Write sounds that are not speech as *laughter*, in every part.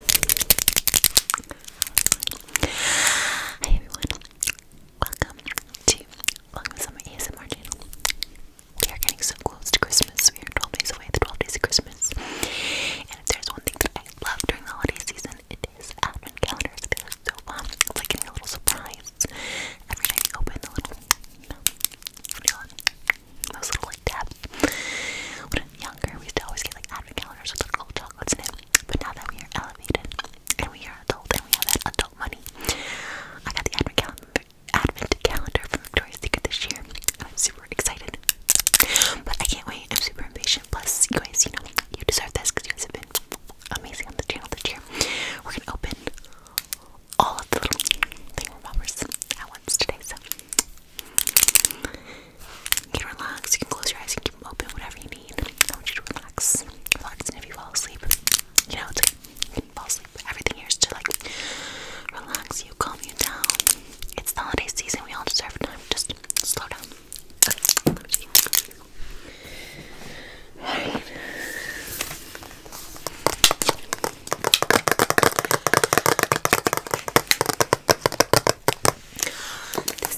Hi everyone, welcome to Welcome to Summer ASMR channel. We are getting so close to Christmas. We are 12 days away, the 12 days of Christmas. And if there's one thing that I love during the holiday season, it is advent calendars. They look so fun. It's like a little surprise. Every night we open the little, those little tabs younger, we used to always get like advent calendars with little chocolates in it. But now that we are elevated and we are adult and we have that adult money, I got the advent calendar, advent calendar Secret this year. I'm super excited, but I can't wait. I'm super impatient. Plus, you guys, you know, you deserve this because you guys have been amazing on the channel this year. We're gonna open all of the little thing robbers at once today, so you can relax, you can close your eyes, you can keep them open, whatever you need. I want you to relax. Relax, and if you fall asleep, you know, it's like you can fall asleep. Everything here is to like relax you, calm you down. It's the holiday season, we all deserve time. Just slow down. Okay,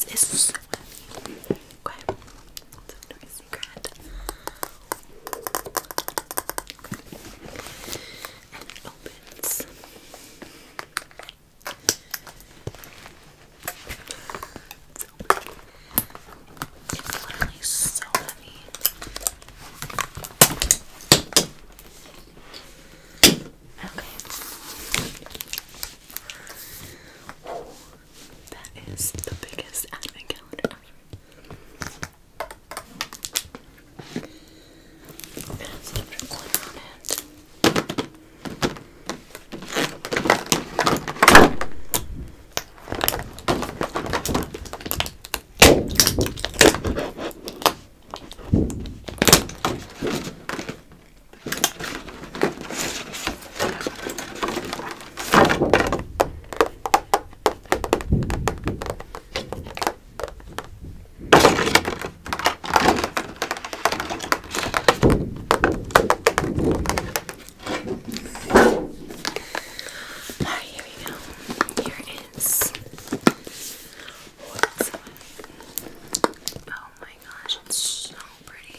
this is so heavy. Okay. Let's secret. it opens. It's, literally so heavy. Okay. That is the biggest advent calendar ever. It has on it. Alright, here we go. Here is oh my gosh, it's so pretty.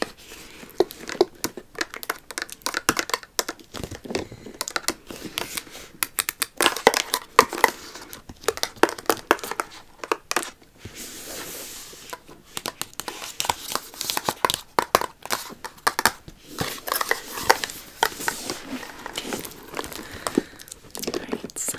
Alright, so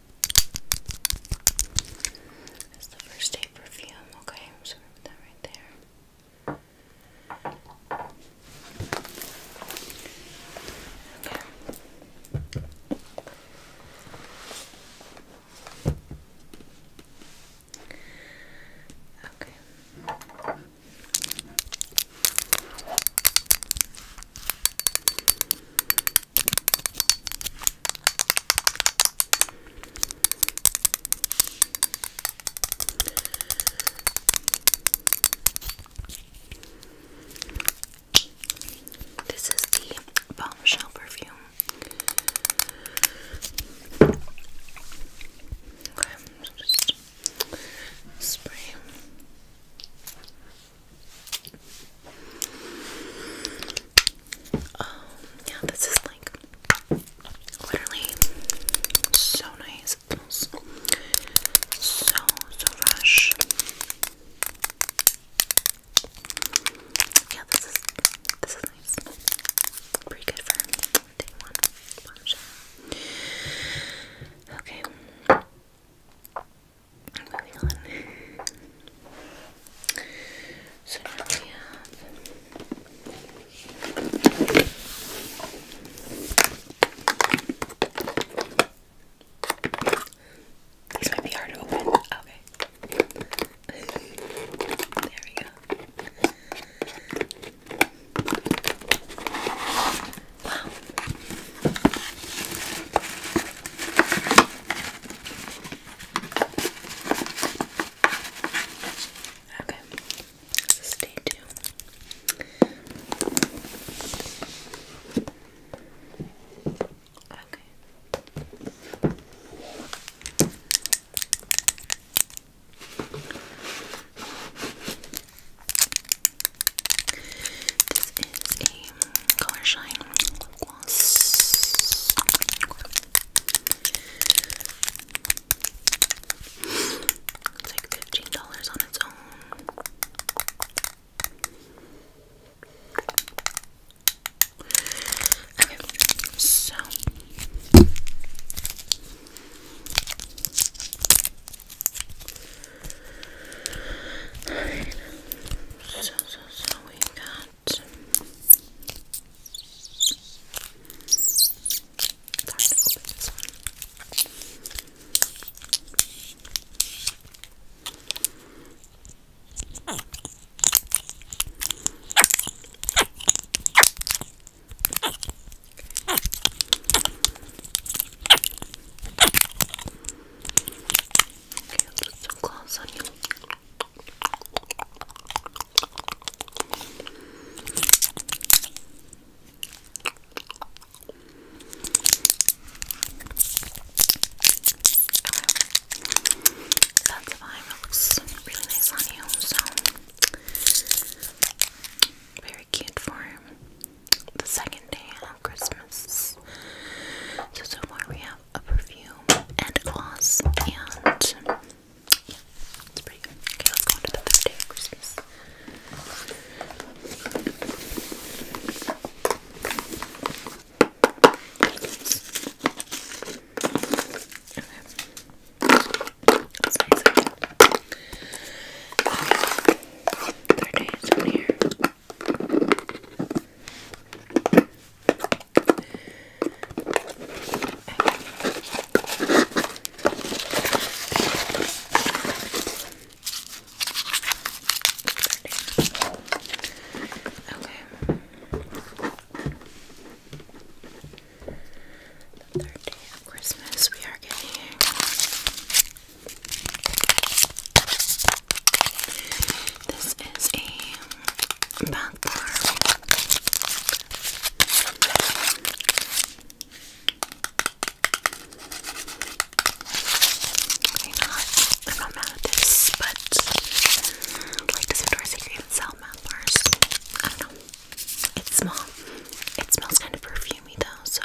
That's the first day perfume. Okay, I'm just going that right there. Okay. Okay. This is the bombshell perfume. Okay, I'm just spray. Um, yeah, this is like literally so nice. It smells so, so fresh. Yeah, this is this is nice. Pretty good for day one. Bombshell. Okay. So now we have. These might be hard to open. Okay. there we go. Wow. Okay, stay tuned. Okay. This is a color shine réponse. It's like fifteen dollars on its own. Okay, so. All right. So so so we got it's hard to open this one. Okay. Okay, I'll put some gloss on you. That's fine. It looks really nice on you, so very cute for the second day of Christmas. So so we have have a perfume and gloss, and yeah, it's pretty good. Okay, let's go on the third day Okay. Third day is over here. The third day of Christmas, we are getting this is a bath bar. I'm not, mad at this, but like this Victoria's Secret sell bath bars. I don't know. It's small. It smells kind of perfumey though, so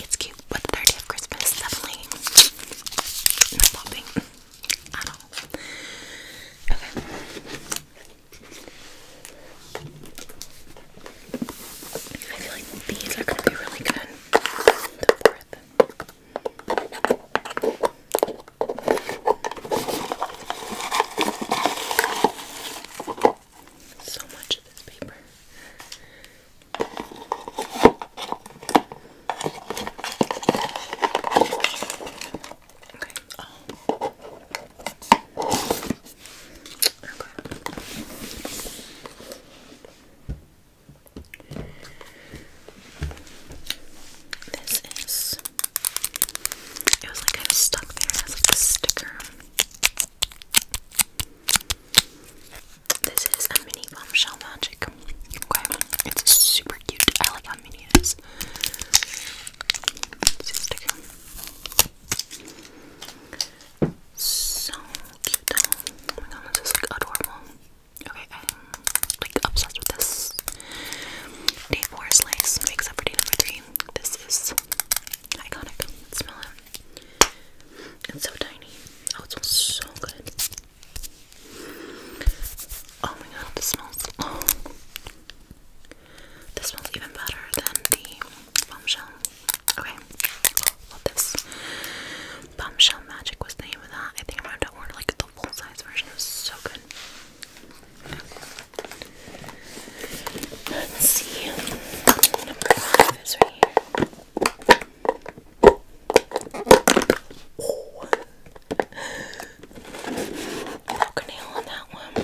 it's cute but 30th Christmas definitely not popping at all. Okay. I feel like these are gonna be really good. So much of this paper. This is. It was like I of stuck there. That's like a sticker. This is a mini bombshell magic. Okay, it's super cute. I like how mini it is. So cute. Oh my god, this is like adorable. Okay, I'm like obsessed with this. Day four slice makes for day number three. This is iconic. Smell it. It's so tiny. Oh, it smells so good. Oh my god, this smells. Oh. This smells even better than the bombshell. Okay, love this. Bombshell Magic was the name of that. I think I'm going to order like the full size version. It so good. Let's see. Number five is right here. Oh. Broke a nail on that one.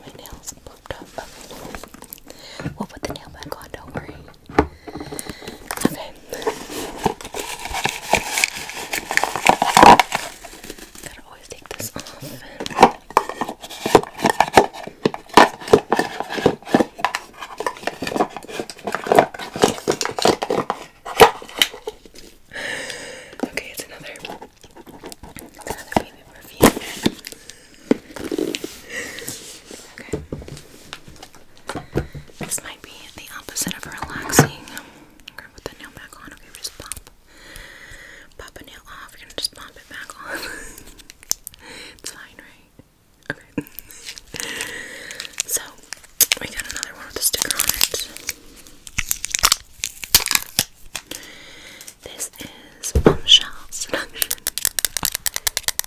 My nails popped up. Okay. We'll put the nail back on, don't worry. Okay. Gotta always take this off. Okay, it's another, it's another baby review. Okay. This might be the opposite of relaxing. I'm gonna put the nail back on. Okay, we just pop pop a nail off, you're just pop it back on. *laughs* it's fine, right? Okay. *laughs* so we got another one with a sticker on it. This is Bombshell Seduction.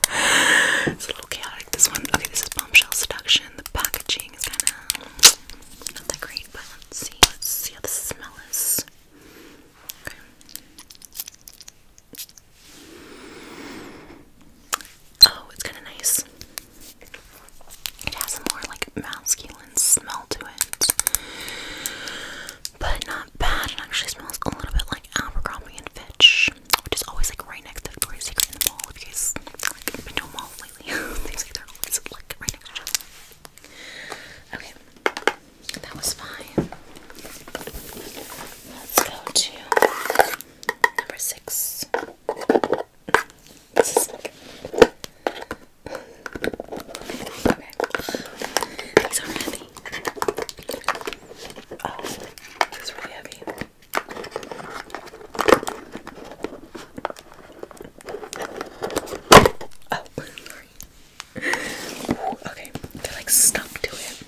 *laughs* it's a little chaotic this one. Okay, this is Bombshell Seduction. The packaging is kinda not that great, but let's see. Let's see how the smell is. Okay. Oh, it's kind of nice. It has more like masculine smell to it, but not bad. It actually smells a little bit like Abercrombie and Fitch, which is always like right next to Victoria's Secret in the mall. If you guys like been to a mall lately, *laughs* things like they're like right next to each Okay. That was fine. Let's go to number six. okay. These are heavy. Oh, this is really heavy. Oh, okay, they're like stuck to it.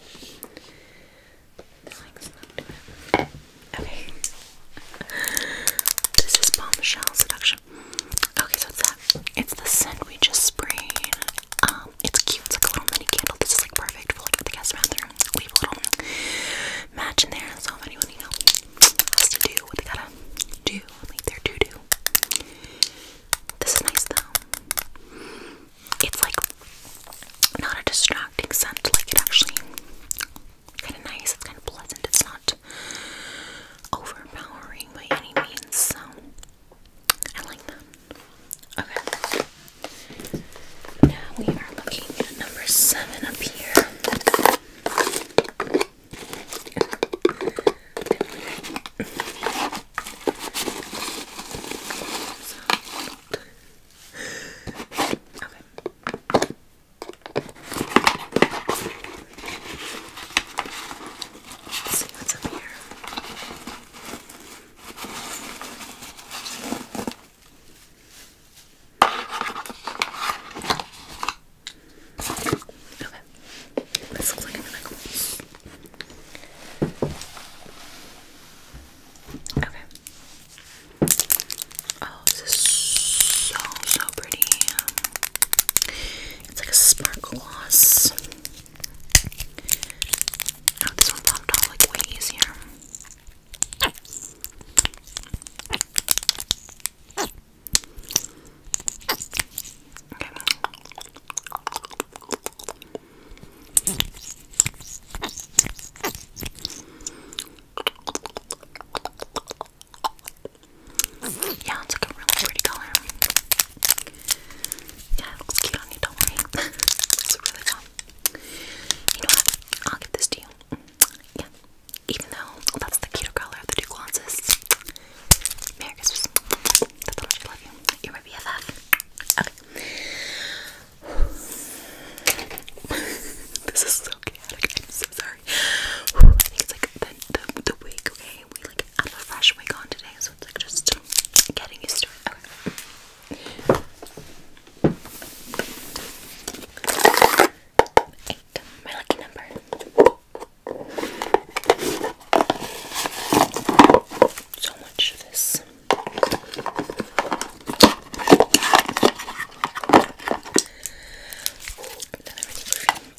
Okay. This is bombshell seduction. Okay, so it's that. It's the scent we just sprayed. Um, it's cute. It's like a little mini candle. This is like perfect for like the guest bathroom. We have a little match in there. So anyone you know to do what they gotta do, like their to do. This is nice though. It's like not a distracting scent, like it actually kind of nice. It's kind of pleasant. It's not overpowering by any means. So I like that. Okay. Now we are looking at number seven up here okay. Let's see what's up here. Okay. This looks like a really Okay. Oh, this is so so pretty. It's like a sparkle gloss. Oh, this one popped off like way easier. Okay. Yeah, it's like a really pretty color. Yeah, looks cute on you, don't worry. *laughs* it's really fun. You know what? I'll give this to you. Yeah. Even though that's the cuter color of the two glosses, you. are my BFF. Okay. *laughs* this is so chaotic. I'm so sorry. I like the, the, wig, okay? We like had a fresh wig on today, so it's like just getting used to it. My lucky number. So much of this.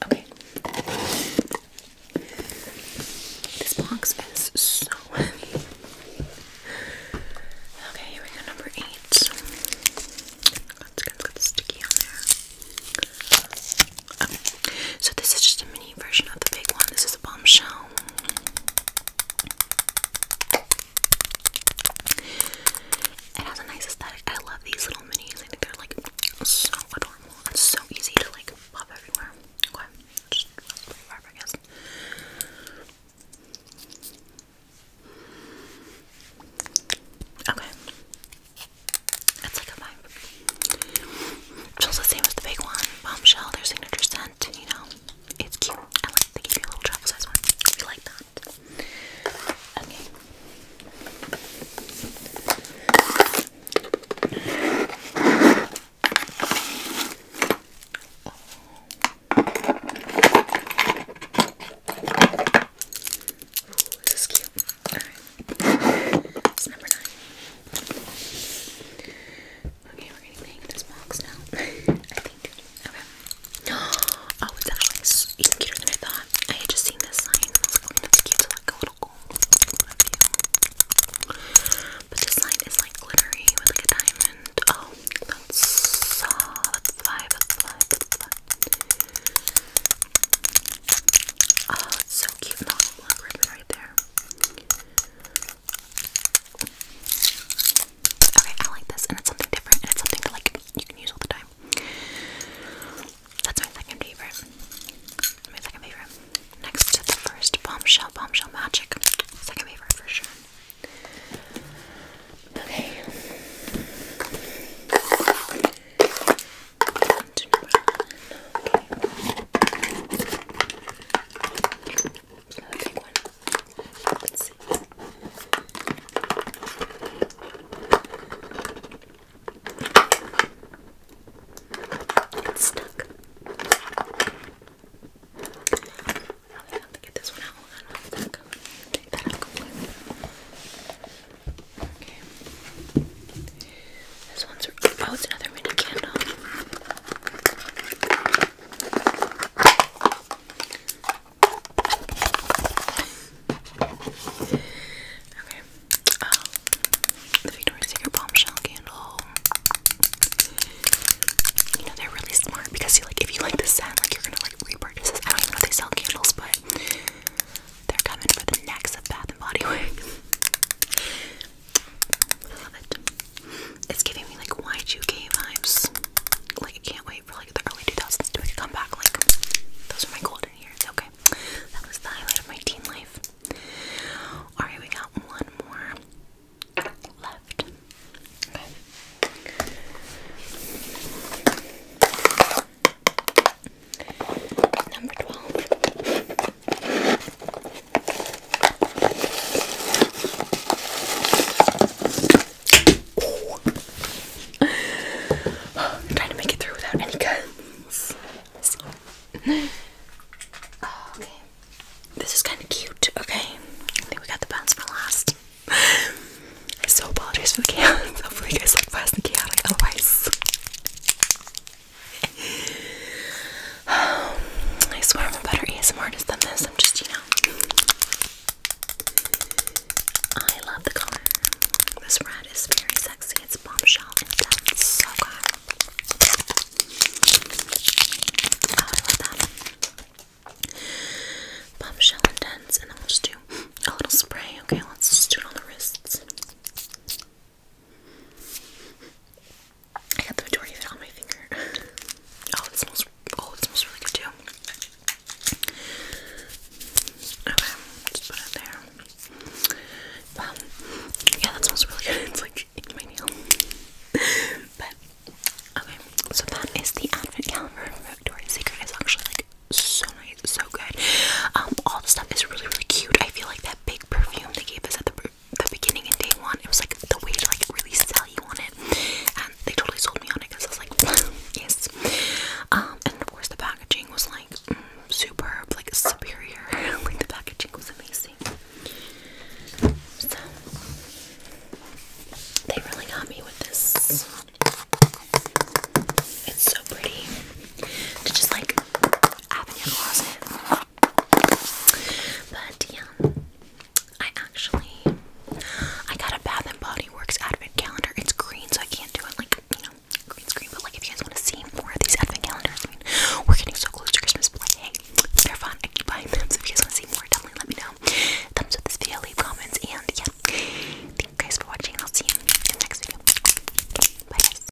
Okay. This box is so Okay, here we go. Number eight. It's got, it sticky on there. Um, so this is just a mini version of the big one. This is a bombshell. It has a nice aesthetic. I love these little minis. I think they're like so adorable. It's so easy to like pop everywhere. Okay. It's like a five. It's the same as the big one, Bombshell, their signature scent, you know. It's cute. I like they give you a little travel size one. We like that. Okay. Ooh, this is cute. Alright. It's number nine. Okay, we're getting the hang this box now. *laughs* I think. Okay. *gasps* Oh, it's actually even cuter than I thought. I had just seen this sign. I was like, oh, cute. like a little gold. But this line is like glittery with like a diamond. Oh, that's five, that's five. Oh, it's so Okay, I like this, and it's something different, and it's something like you can use all the time. That's my second favorite. My second favorite. Next to the first bombshell, bombshell magic. Second favorite for sure. Okay to number 11. Okay. Another big one. Let's see. It's stuck. Now we have to get this one out. Hold on, hold on. Take that out. Okay oh, it's another mini candle. Okay. Oh, the Victoria's Secret bombshell candle. You know they're really smart because you like if you like the scent, like you're gonna like repurchase I don't even know they sell candles, but they're coming for the necks Bath and Body Works. I love it. It's giving me like Y2K vibes. Like I can't wait for like the early 2000s to make a comeback. Like those are my golden years. Okay, that was the highlight of my teen life. All right, we got one more left. Number 12. trying to make it through without any guns. Oh, okay. This is kind of cute, okay? I think we got the bounce for last. so apologies for the chaos. *laughs* Hopefully you guys like fast and chaotic, otherwise *sighs* I swear I'm a better ASMR artist than this. I'm just, you know. I love the color. This red is very sexy. It's bombshell intense. So good. Oh, I love that. Bombshell intense. And then we'll just do a little spray. Okay, let's just do it on the wrists. I got the majority on my finger. *laughs* Oh, it smells. Oh, it smells really good too. Okay, just put it there. Um, yeah, that smells really good. *laughs* It's like in my nail. *laughs* but okay, so that is the advent calendar from Secret. It's actually like so nice, so good. Um, all the stuff is really, really cute. I feel like that big perfume they gave us at the, the beginning in day one. It was like the way to like really sell you on it, and they totally sold me on it because I was like, *laughs* yes. Um, and of course the packaging was like mm, superb, like superior. *laughs* like the packaging was amazing. So they really got me with this. It's so pretty to just like but yeah, I actually I got a Bath and Body Works advent calendar. It's green, so I can't do it like you know green screen. But like if you guys want to see more of these advent calendars, I mean we're getting so close to Christmas. But hey, they're fun. I keep buying them. So if you guys want to see more, definitely let me know. Thumbs up this video, leave comments, and yeah, thank you guys for watching. I'll see you in the next video. Bye guys.